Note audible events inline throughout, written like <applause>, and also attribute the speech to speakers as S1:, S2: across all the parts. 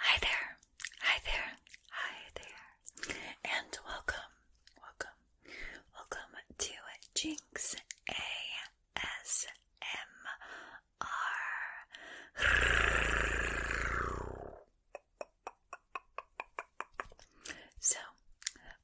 S1: Hi there, hi there, hi there, and welcome, welcome, welcome to Jinx ASMR. So,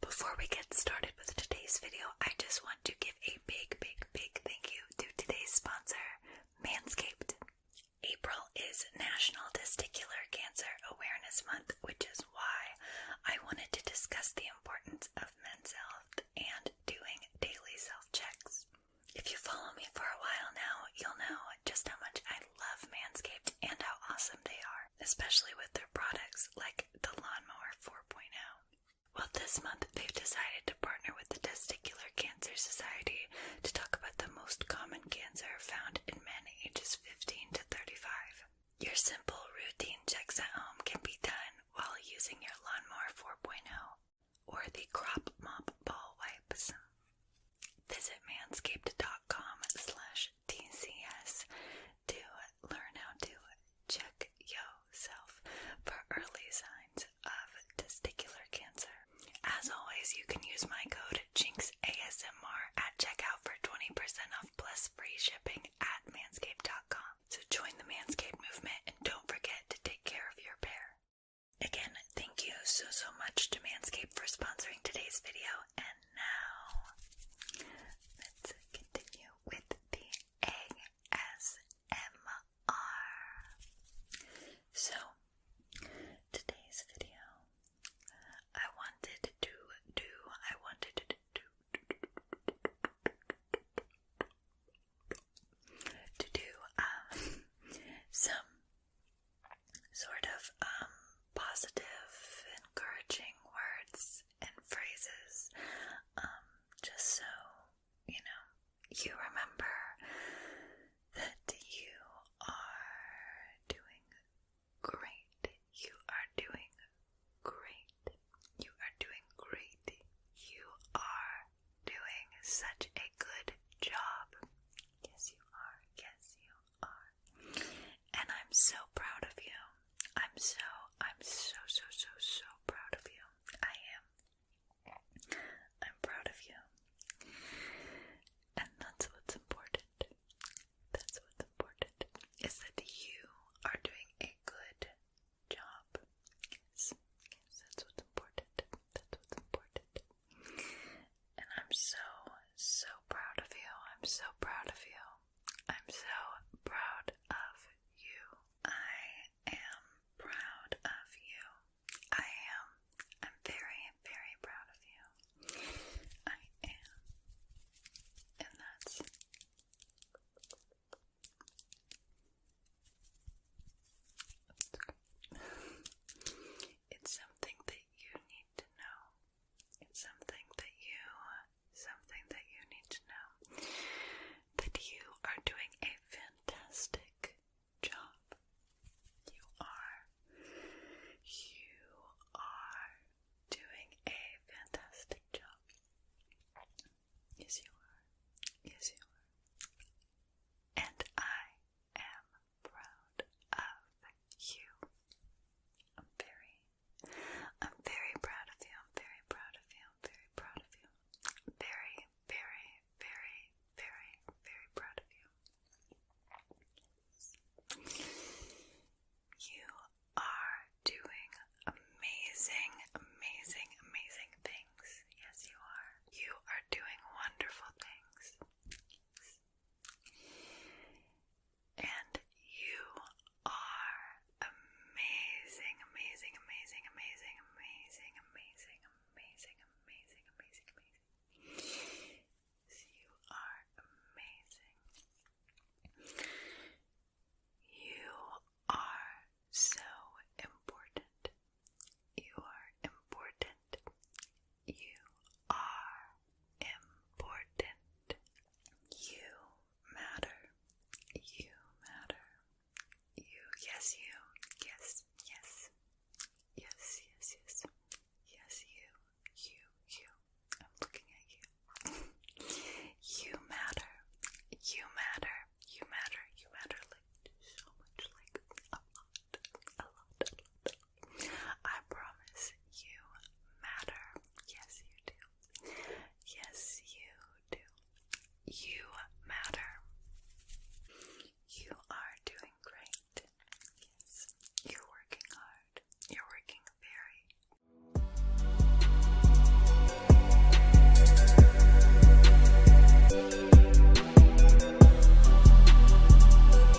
S1: before we get started with today's video, I just want to give a big, big, big thank you to today's sponsor, Manscaped. April is National Testicular Cancer Awareness Month, which is why I wanted to discuss the importance of men's health and doing daily self checks. If you follow me for a while now, you'll know just how much I love Manscaped and how awesome they are especially with their products like the Lawnmower 4.0. Well, this month they've decided to partner with the Testicular Cancer Society to talk about the most common cancer found in men ages 15 to 35. Your simple routine checks at home can be done while using your Lawnmower 4.0 or the Crop Mop Ball Wipes. Visit manscaped.com slash TCS to learn how to check yourself for early signs of testicular cancer. As always, you can use my code JinxASMR at checkout for 20% off plus free shipping at manscaped.com. So join the Manscaped movement and don't forget to take care of your pair. Again, thank you so, so much to Manscaped for sponsoring today's video, and now let's continue with the ASMR. So, today's video, I wanted to do, I wanted to do, to do um, some sort of um, positive, encouraging words and phrases, um, just so you know you remember that you are doing great. You are doing great. You are doing great. You are doing such a good job. Yes, you are. Yes, you are. And I'm so proud of you. I'm so, I'm so, so, so, so proud of you. I am. I'm proud of you. And that's what's important. That's what's important is that you are doing a good job. Yes, yes that's what's important. That's what's important. And I'm so, so proud of you. I'm so proud of you. I'm so proud of you. I am proud of you. I am. I'm very, very proud of you. I am. And that's. It's something that you need to know. It's something that you, something that you need to know that you are doing a fantastic job. You are, you are doing a fantastic job. Yes, you are. Yes, you are. And I am proud of you. I'm very, I'm very proud of you. I'm very proud of you. I'm very proud of you. Very, very, very, very, very proud of you. You are doing amazing, amazing, amazing things. Yes, you are. You are doing wonderful things. And you are amazing, amazing, amazing, amazing, amazing, amazing, amazing, amazing, amazing, amazing. You are amazing. You are so important. You are important. You are important. You matter. You matter. You, yes, you, yes, yes, yes, yes, yes, yes, you, you, you. I'm looking at you. you matter. You matter. You matter. You matter like so much, like a lot, a lot, I promise you matter. Yes, you do. Yes, you do. You matter. You are doing great. Yes, you're working hard. You're working very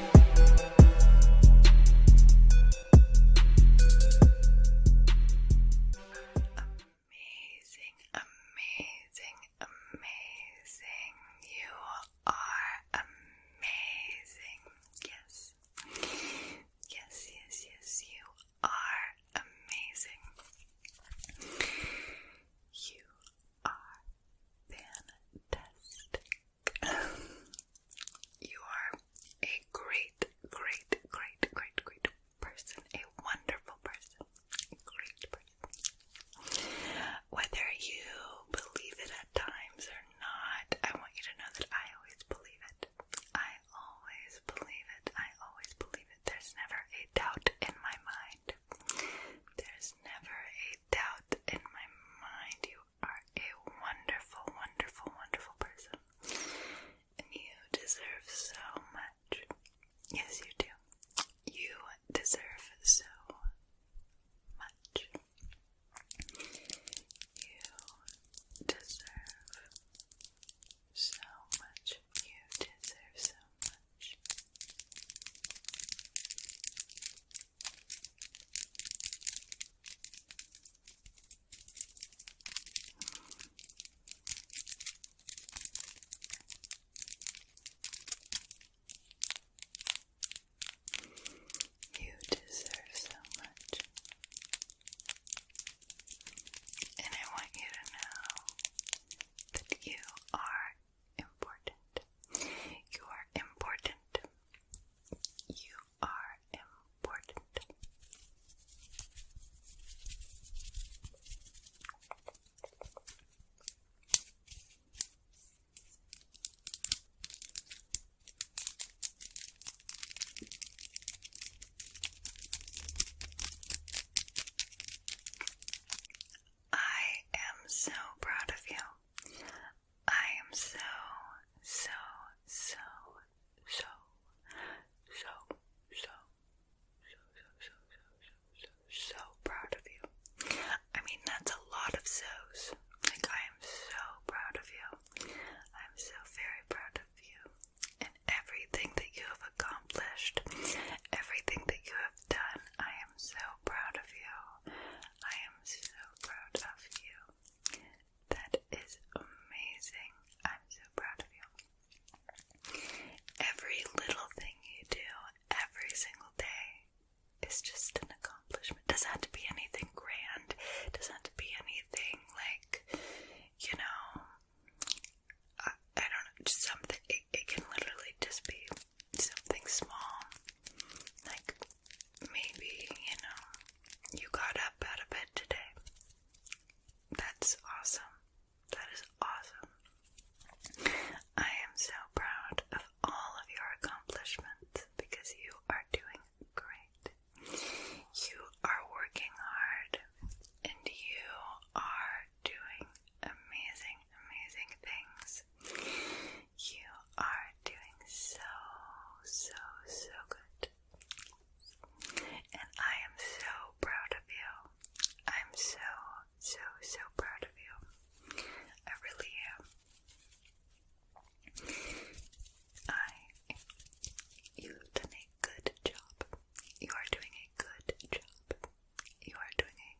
S1: Amazing, amazing, amazing. You are amazing. Yes. Yes, yes, yes. You are amazing. You are fantastic. You are a great, great, great, great, great person, a wonderful person, great person. Whether you believe it at times or not, I want you to know that I always believe it. I always believe it. I always believe it. There's never a doubt in my mind. There's never a doubt in my mind. You you are a wonderful, wonderful, wonderful person. And you deserve so much. Yes, you do. You deserve so much. You deserve so much. You deserve so much. You deserve so much, and I want you to know that you are important. You are important. You are important. I am so proud of you. I am so, so, so, so, so, so, so, so, so, so, so, so proud of you. I mean, that's a lot of so's. Like, I am so proud of you. I'm so very proud of you and everything that you have accomplished, everything that you have done. I am so proud of you. I am so proud of you. That is amazing. I'm so proud of you. Every little thing you do every single day is just an accomplishment. doesn't have to be anything grand. doesn't have to be anything like, you know, I, don't know, just something. it can literally just be something small, like maybe, you know, you got up out of bed today. That's awesome. That is awesome. I am so proud of all of your accomplishments because you are doing great. You are working hard and you are doing amazing amazing things. You are doing so, so, so good. And I am so proud of you. I'm so, so, so proud of you. I really am. I, you've done a good job. You are doing a good job. You are doing a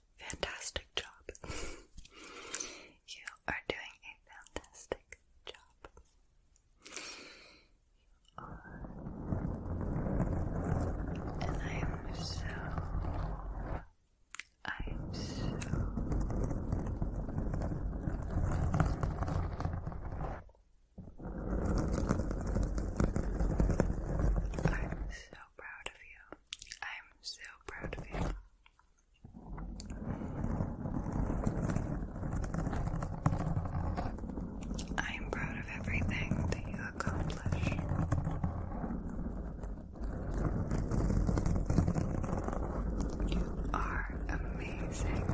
S1: fantastic job. <laughs> you are doing a fantastic job. And I am so. I am so. I'm so proud of you. I'm so proud of you. I am proud of everything that you accomplish. You are amazing.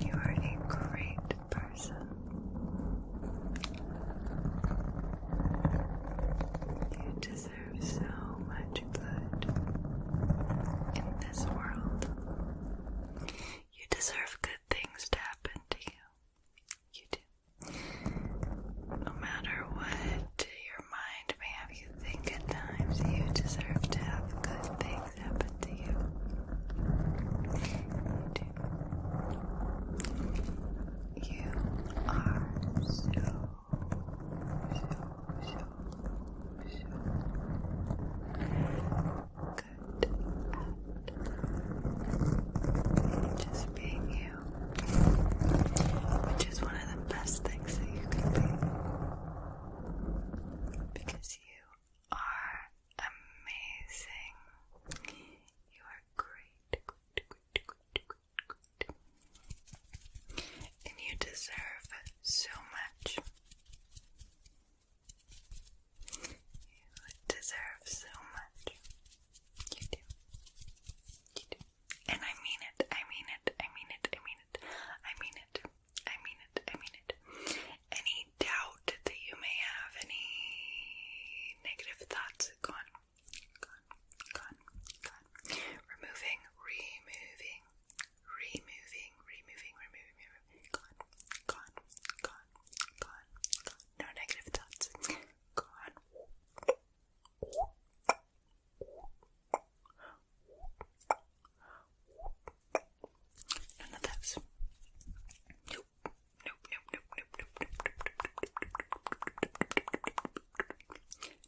S1: You are a great person. You deserve so much good in this world. You deserve good things to happen to you. You do. No matter what your mind may have you think at times, you deserve to have good things happen to you. You are so, so, so, so good at just being you, which is one of the best things that you can be because you are amazing. You are great, And you deserve so much. You deserve so much. You do. You do. And I mean it. I mean it. I mean it. I mean it. I mean it. I mean it. I mean it any doubt that you may have, any negative thoughts, gone, gone, gone, gone. Removing, removing, removing, removing, removing, removing, gone, gone, gone, gone, No negative thoughts, gone. None of those. Nope. Nope, nope, nope, nope, nope, nope, nope.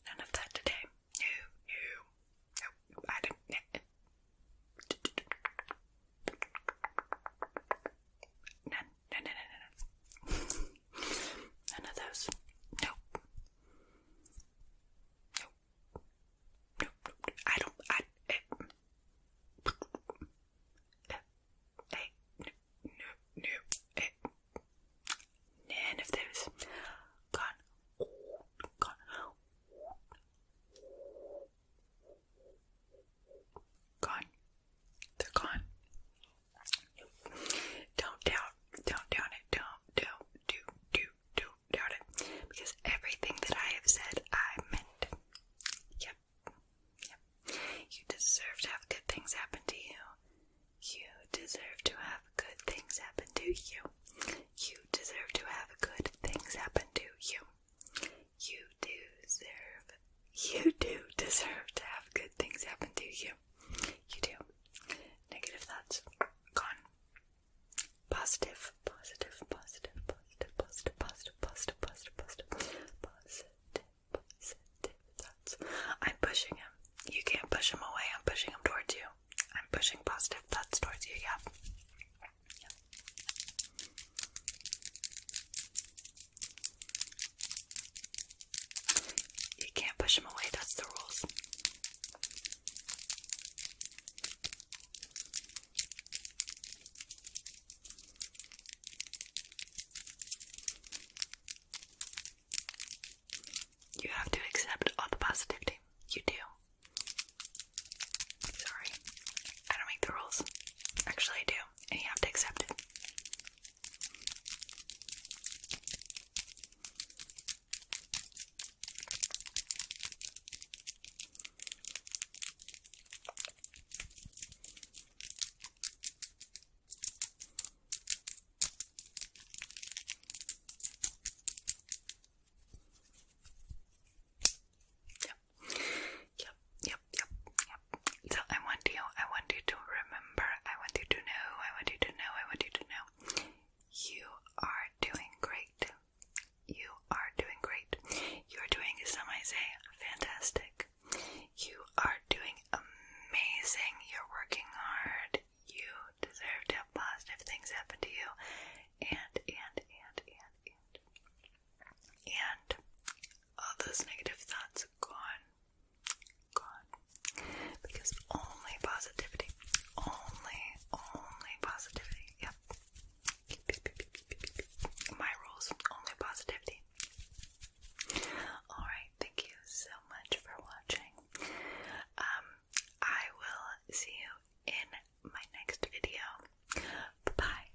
S1: None of that today. No, no. Nope, I didn't. None, no, no, no, no, no. None of those. Nope. Nope. Nope, nope, nope. I don't, I, it, eh none of those. Gone, gone. Gone. They're gone. Don't doubt. Don't doubt it. Don't, don't, do, do, do doubt it. Because everything that I have said, I meant. Yep. Yep. You deserve to have good things happen to you. You deserve to have good things happen to you. You deserve to have good things happen to you. You deserve. You do deserve to have good things happen to you. You do. Negative thoughts gone. Positive, positive, positive, positive, positive, positive, positive, positive, positive, positive, positive thoughts. I'm pushing him. You can't push him away. I'm pushing him towards you. I'm pushing positive thoughts towards you. Yeah. yeah. You can't push him away. That's the rules. You have to accept all the positivity. You do. Sorry. I don't make the rules. Actually, I do. And you have to accept it. Yep, yep, yep, yep. So I want you, I want you to remember, I want you to know, I want you to know, I want you to know. You are doing great. You are doing great. You're doing, some might say, fantastic. You are doing amazing. You're working hard. You deserve to have positive things happen to you. And, and, and, and, and. And all those negative thoughts gone. Gone. Because only positivity. Only, only positivity. Yeah. My rules only positivity. Alright, thank you so much for watching. Um, I will see you in my next video. Bye bye.